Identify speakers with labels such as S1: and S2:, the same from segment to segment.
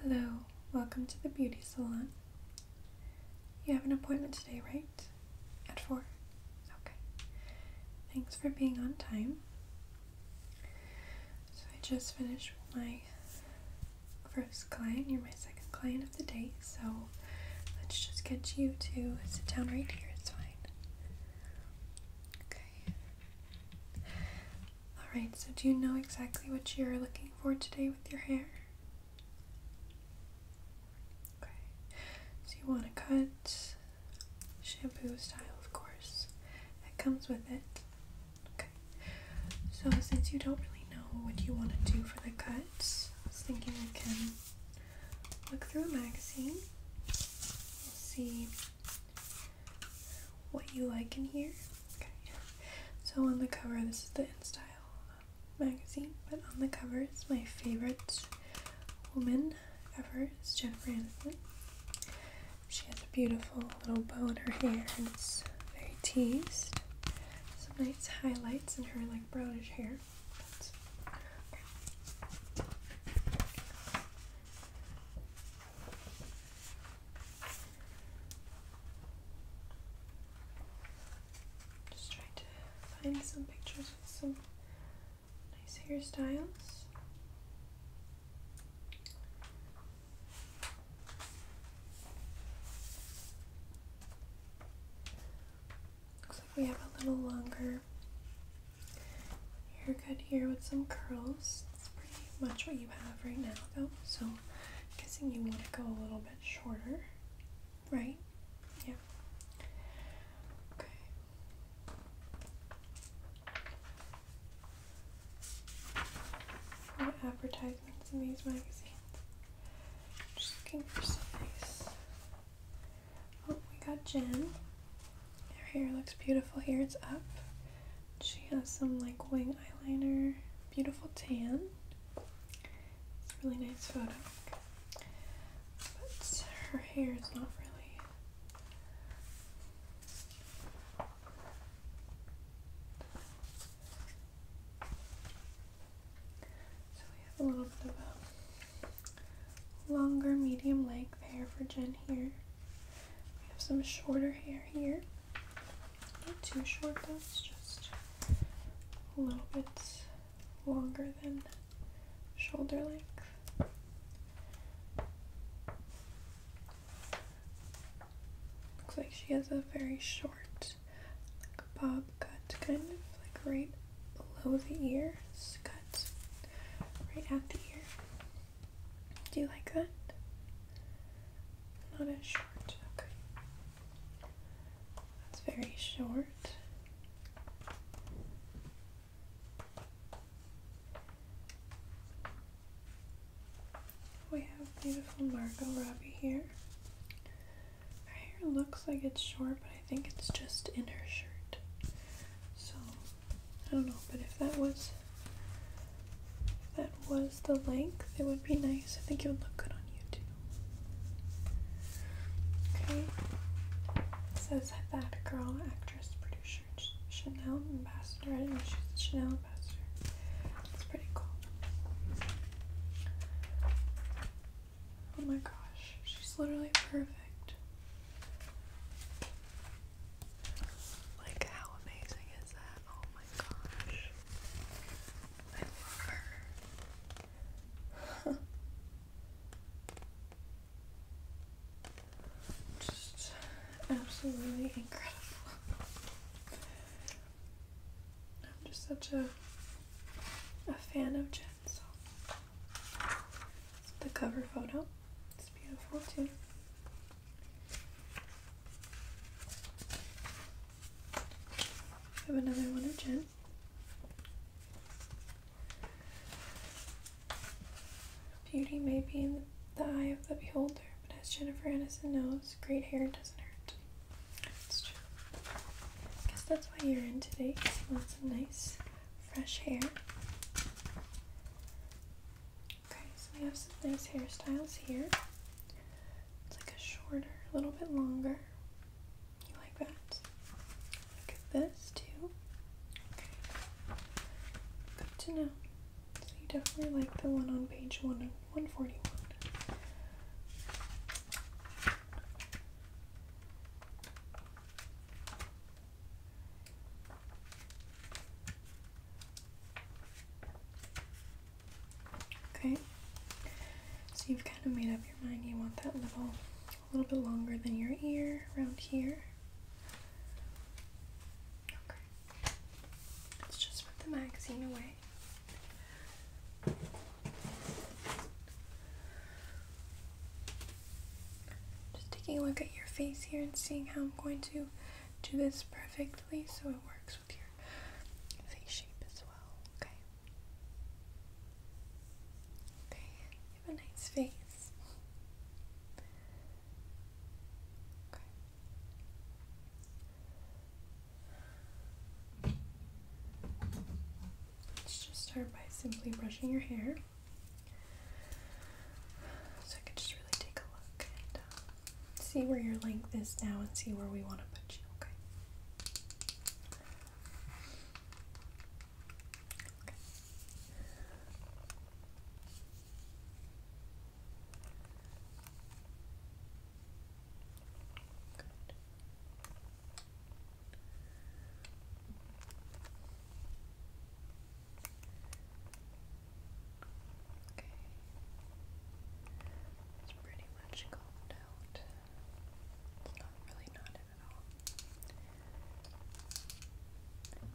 S1: Hello, welcome to the beauty salon. You have an appointment today, right? At 4? Okay. Thanks for being on time. So, I just finished with my first client. You're my second client of the day, so let's just get you to sit down right here. It's fine. Okay. Alright, so do you know exactly what you're looking for today with your hair? Okay, so you want to cut, shampoo style, of course. That comes with it. Okay, so since you don't really know what you want to do for the cut, I was thinking we can look through a magazine. We'll see what you like in here. Okay. So on the cover, this is the InStyle um, magazine, but on the cover it's my favorite woman ever. It's Jennifer Aniston. She has a beautiful little bow in her hair, it's very teased. Some nice highlights in her like brownish hair. Just trying to find some pictures with some nice hairstyles. Looks like we have a little longer you're good here with some curls. That's pretty much what you have right now, though. So, I'm guessing you want to go a little bit shorter, right? Yeah. Okay. advertisements in these magazines, just looking for some Oh, we got Jen. Her hair looks beautiful here, it's up. She has some like wing eyeliner, beautiful tan. It's a really nice photo. But her hair is not really So we have a little bit of a longer medium length hair for Jen here. We have some shorter hair here. Not too short though, it's just a little bit longer than shoulder length. Looks like she has a very short, like bob cut kind of, like right below the ear. It's cut right at the ear. Do you like that? Not as short. Okay. That's very short. We have beautiful Margot Robbie here. Her hair looks like it's short, but I think it's just in her shirt. So I don't know, but if that was if that was the length, it would be nice. I think it would look good on you too. Okay. It says that girl, actress, producer, Chanel ambassador. I did Chanel ambassador. That's pretty cool. Oh my gosh, she's literally perfect. Like, how amazing is that? Oh my gosh. I love her. Just absolutely incredible. I'm just such a a fan of Jen. So the cover photo. It's beautiful too. I have another one of Jen. Beauty may be in the eye of the beholder, but as Jennifer Aniston knows, great hair doesn't hurt. That's true. I guess that's why you're in today, because you want some nice fresh hair. Okay, so we have some nice hairstyles here. It's like a shorter, a little bit longer. You like that? Look at this too. Okay. Good to know. So you definitely like the one on page one one forty one. Okay, so you've kind of made up your mind you want that little, a little bit longer than your ear around here. Okay, let's just put the magazine away. Just taking a look at your face here and seeing how I'm going to do this perfectly so it works with your face shape as well, okay? Okay, you have a nice face. Okay. Let's just start by simply brushing your hair. So I can just really take a look and um, see where your length is now and see where we want to put you, okay? Okay. It's pretty much combed out. It's not really knotted at all. On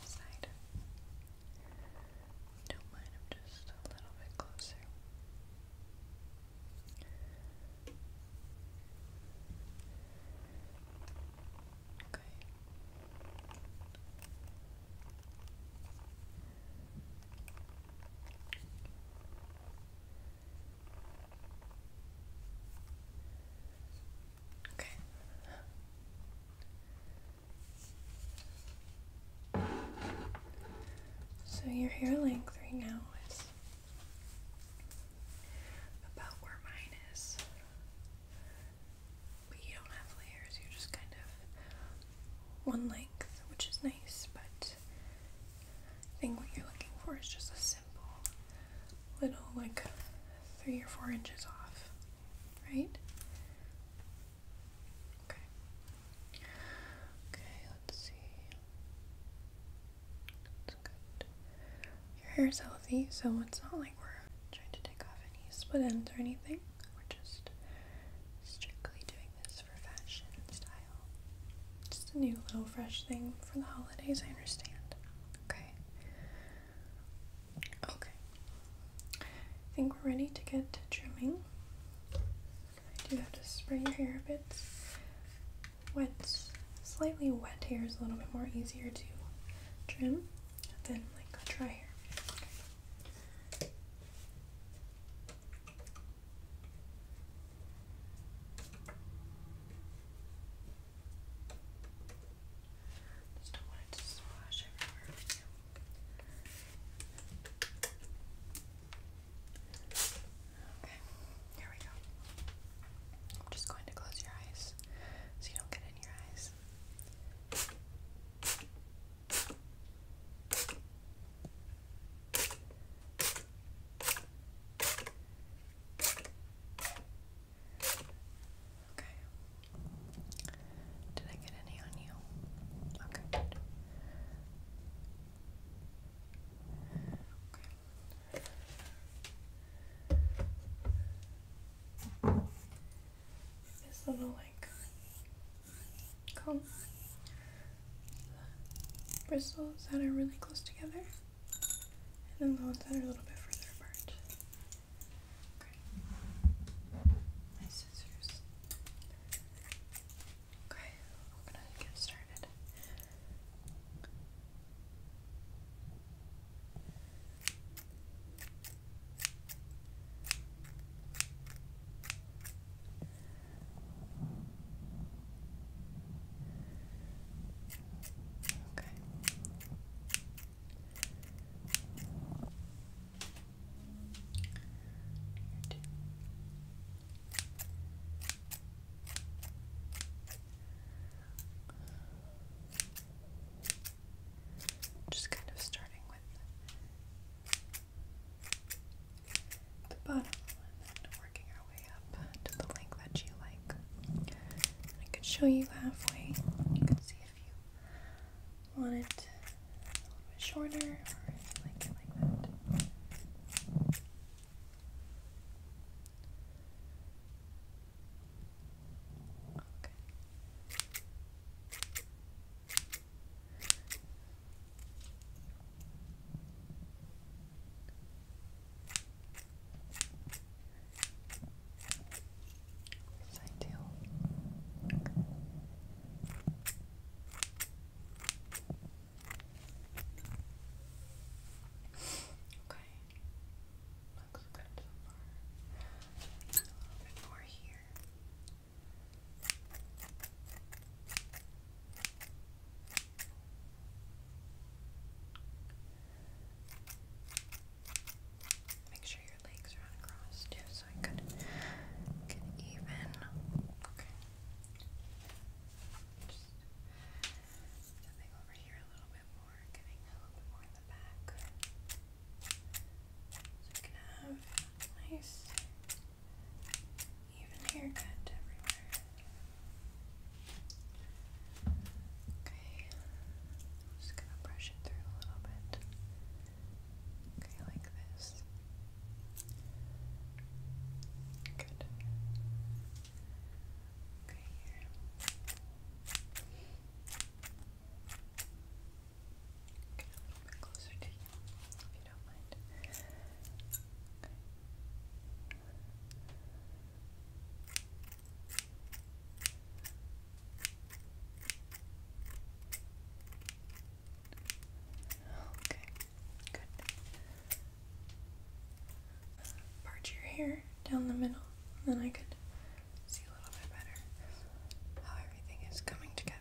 S1: this side. Don't mind, I'm just a little bit closer. Okay. Okay. So your hair length right now is about where mine is. But you don't have layers, you're just kind of one length, which is nice, but I think what you're looking for is just a simple little, like, three or four inches off, right? Okay. Okay, let's see. That's good. Your hair's healthy, so it's not like we're trying to take off any split ends or anything. We're just strictly doing this for fashion and style. Just a new little fresh thing for the holidays, I understand. Okay. Okay. I think we're ready to get trimming. I do have to spray your hair a bit. Wet, slightly wet hair is a little bit more easier to trim than like dry hair. Just don't want it to splash everywhere. Okay, here we go. I'm just going to close your eyes so you don't get in your eyes. Okay. Did I get any on you? Okay, this little like comb bristles that are really close together, and then the ones that are a little bit further apart. Okay. My scissors. Okay, we're gonna get started. Okay. Just kind of starting with the bottom and then working our way up to the length that you like. I could show you halfway. You can see if you want it a little bit shorter, or like that. Okay. This is ideal. Okay. Looks good so far. a little bit more here. Make sure your legs are uncrossed, too, so so I could get even. Okay. Just stepping over here a little bit more, getting a little bit more in the back. So we can have nice even haircut everywhere. Okay. just gonna brush it through a little bit. Okay, like this. Good. Okay, here. Okay, a little bit closer to you, if you don't mind. Okay, good. Part your hair down the middle, then I could see a little bit better how everything is coming together.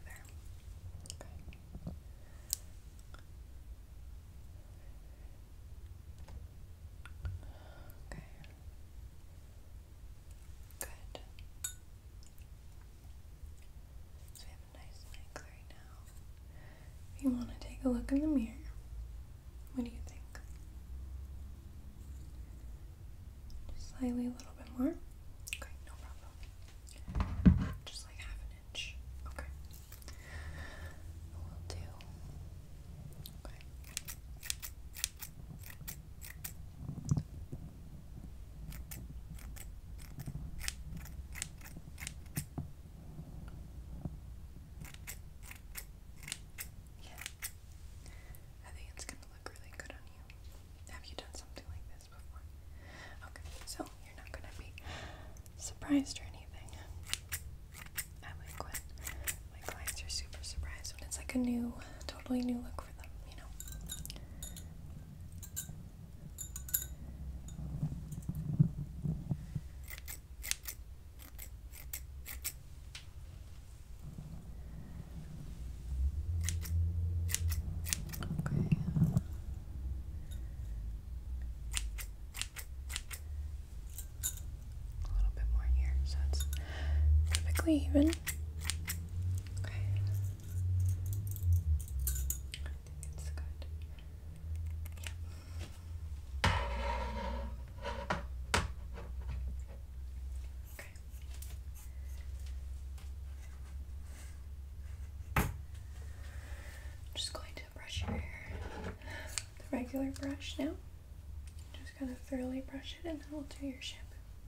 S1: Okay. Good we have a nice mix right now. If you want to take a look in the mirror, what do you think? slightly a little bit more. Okay, no problem. Just like half an inch. Okay. We'll do. Okay. Yeah. I think it's gonna look really good on you. Have you done something like this before? Okay, so you're not gonna be surprised or anything. I like when my clients are super surprised when it's like a new, totally new look for them, you know? Okay. A little bit more here, so it's perfectly even. Okay. I think it's good. Okay. just going to brush your hair with the regular brush now. Just gonna thoroughly brush it and then I'll do your ship.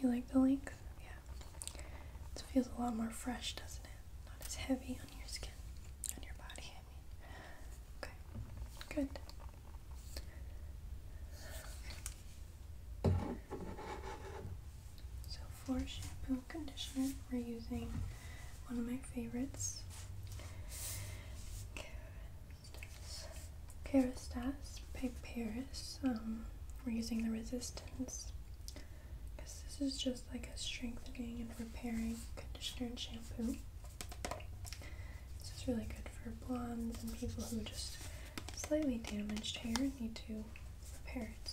S1: You like the length? Yeah. It feels a lot more fresh, doesn't it? Not as heavy on your skin, on your body, I mean. Okay, good. So for shampoo and conditioner, we're using one of my favorites. Peristase, Piperus. Um, we're using the resistance because this is just like a strengthening and repairing conditioner and shampoo. This is really good for blondes and people who just slightly damaged hair need to repair it.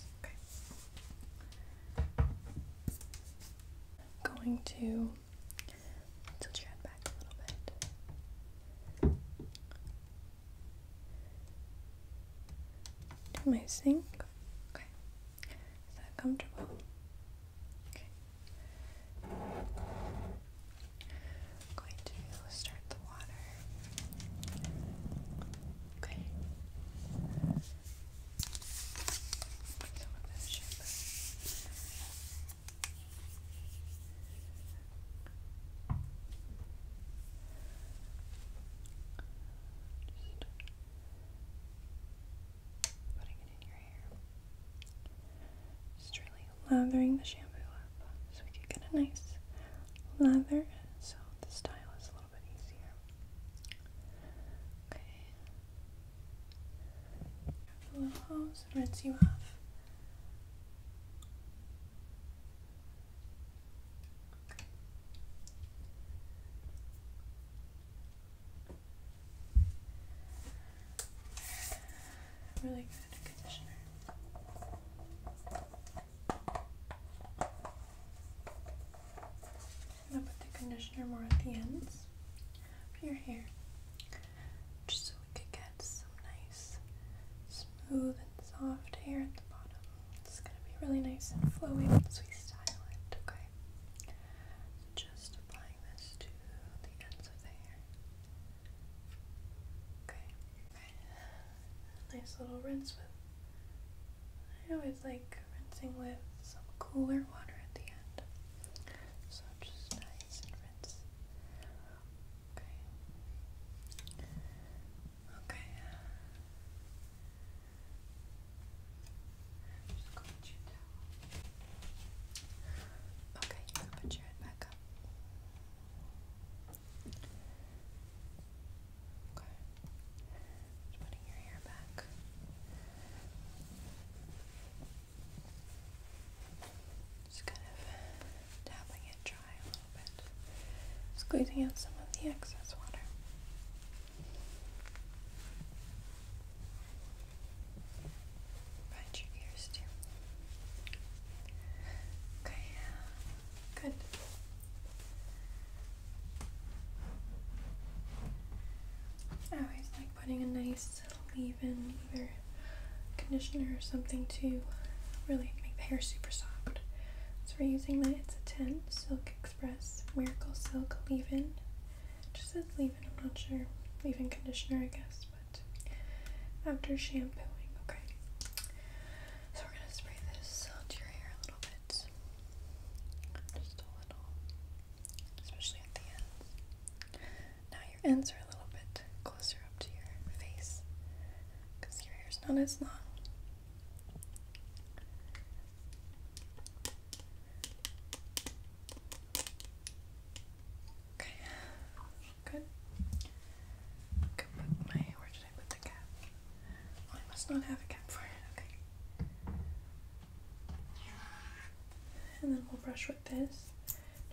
S1: Okay. going to tilt your head back a little bit to my sink. Okay. Is that comfortable? Okay. I'm going to start the water. Okay. Just really lathering the shampoo up so we can get a nice lather so the style is a little bit easier. Okay. a little hose and you off. Really good conditioner. I'm gonna put the conditioner more at the ends of your hair just so we could get some nice, smooth, and soft hair at the bottom. It's going to be really nice and flowing once we style it, okay? just applying this to the ends of the hair. okay. Nice little rinse with. I always like rinsing with some cooler water at the end. So just nice and rinse Okay. Okay. Just put your towel. Okay, put your head back up. Okay. putting your hair back. Just kind of tapping it dry a little bit, squeezing out some of the excess water. Behind your ears too. Okay, good. always like putting a nice leave-in either conditioner or something to really make the hair super soft. So we're using the It's a 10 Silk Express Miracle Silk Leave-In. It just says leave-in, I'm not sure. Leave-in conditioner, I guess, but after shampooing, okay. So we're gonna spray this onto your hair a little bit. Just a little, especially at the ends. Now your ends are a little bit closer up to your face because your hair's not as long. Okay, good. I my, where did I put the cap? Oh, I must not have a cap for it, okay. And then we'll brush with this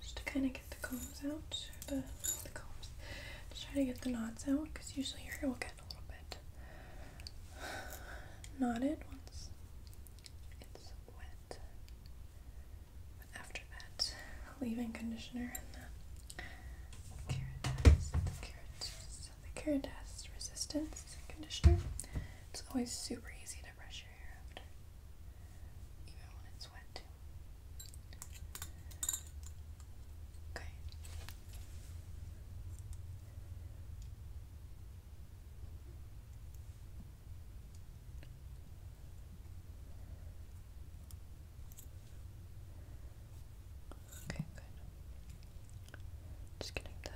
S1: just to kind of get the combs out, the, the combs, just try to get the knots out because usually your hair will get a little bit knotted once it's wet. But after that, leave-in conditioner and the Keratas, the Resistance Conditioner. It's always super easy to brush your hair after even when Okay. Okay, good. Just getting the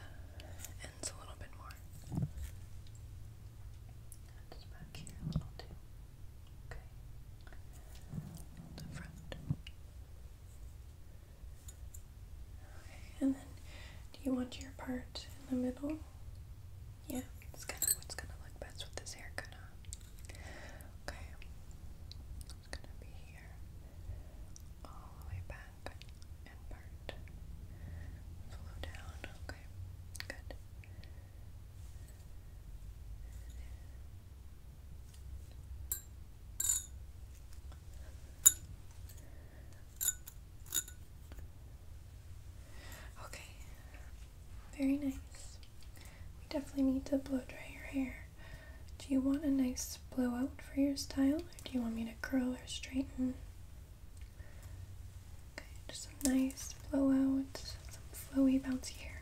S1: ends a little bit more just back here a little too. Okay. the front. Okay, and then do you want your part in the middle? Yeah, it's kind of what's gonna look best with this haircut Okay, it's gonna be here, all the way back, part. Flow down, okay, good. Okay, very nice. We definitely need to blow dry your hair. Do you want a nice blowout for your style, or do you want me to curl or straighten? Okay, just some nice blowout, some flowy, bouncy hair.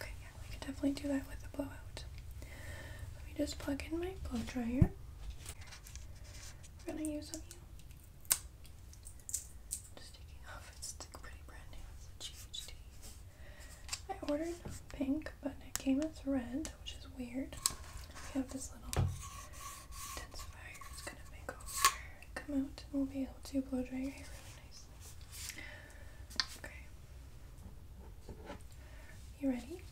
S1: Okay, yeah, we can definitely do that with a blowout. Let me just plug in my blow dryer. We're gonna use on Just taking off, it's like pretty brand new. I ordered pink, but it came as red, which is weird. We have this little intensifier is gonna make all the hair come out, and we'll be able to blow dry your hair really nicely. Okay. You ready?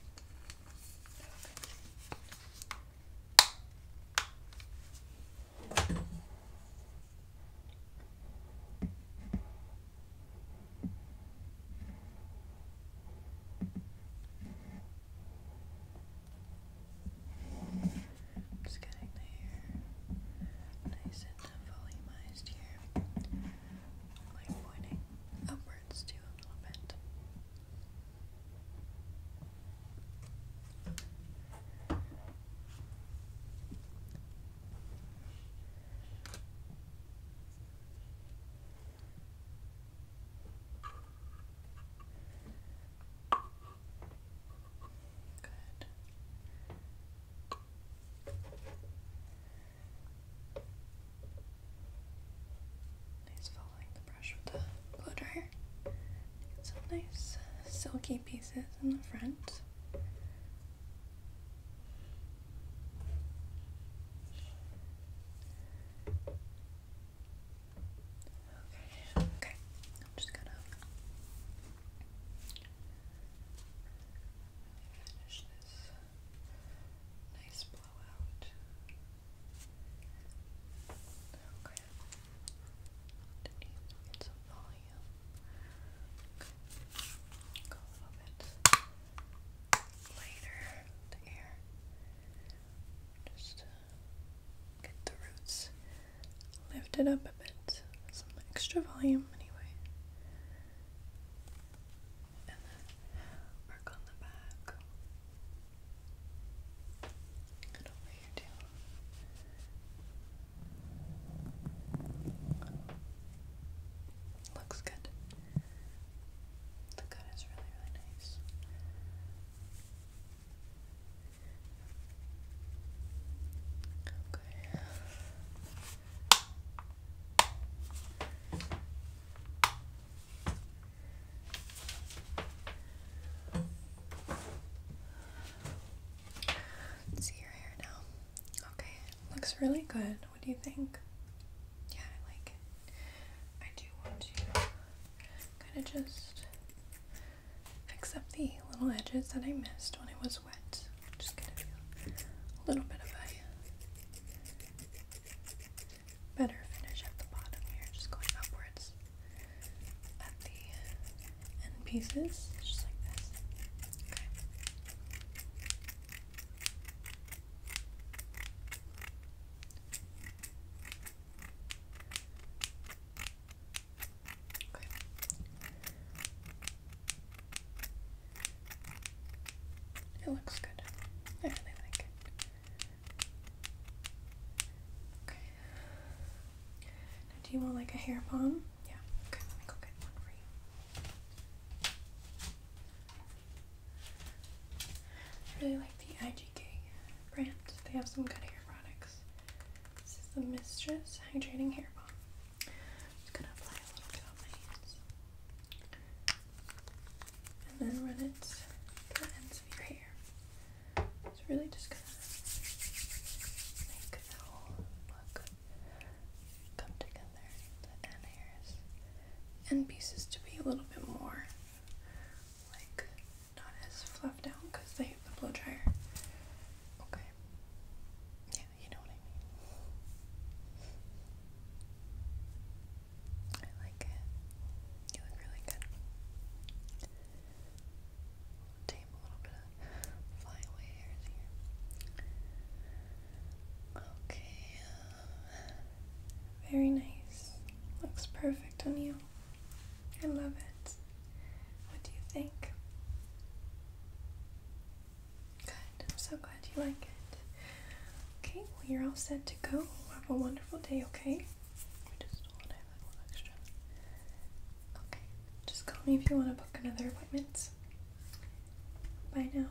S1: Just getting the hair nice and volumized here. Like pointing upwards too a little bit. Good. Nice following the brush with the blow dryer. some nice uh, silky pieces in the front. Okay, okay. I'm just gonna finish this nice blowout. Okay. Get some volume. Go a little bit later the air. Just uh, get the roots lifted up a bit, some extra volume anyway. And then work on the back. And over here too. Looks good. The cut is really, really nice. Okay. see your hair now. Okay, looks really good. What do you think? Yeah, I like it. I do want to kind of just fix up the little edges that I missed when it was wet. just gonna a little bit of a better finish at the bottom here, just going upwards at the end pieces, just like this. It looks good. I really like it. Okay. do you want like a hair pom? Yeah. Okay, let me go get one for you. I really like the IGK brand. They have some good hair products. This is the Mistress Hydrating Hair Balm. just gonna apply a little bit on my hands. And then run it through the ends of your hair. It's really just gonna make the whole look come together. The end hairs. End pieces to be a little bit more like not as fluffed out because they have the blow dryer. Okay. Yeah, you know what I mean. I like it. You look really good. tame a little bit of flyaway hairs here. Okay. Um, very nice. Looks perfect on you. I love it. What do you think? Good. I'm so glad you like it. Okay, well, you're all set to go. Have a wonderful day, okay? just want extra. Okay, just call me if you want to book another appointment. Bye now.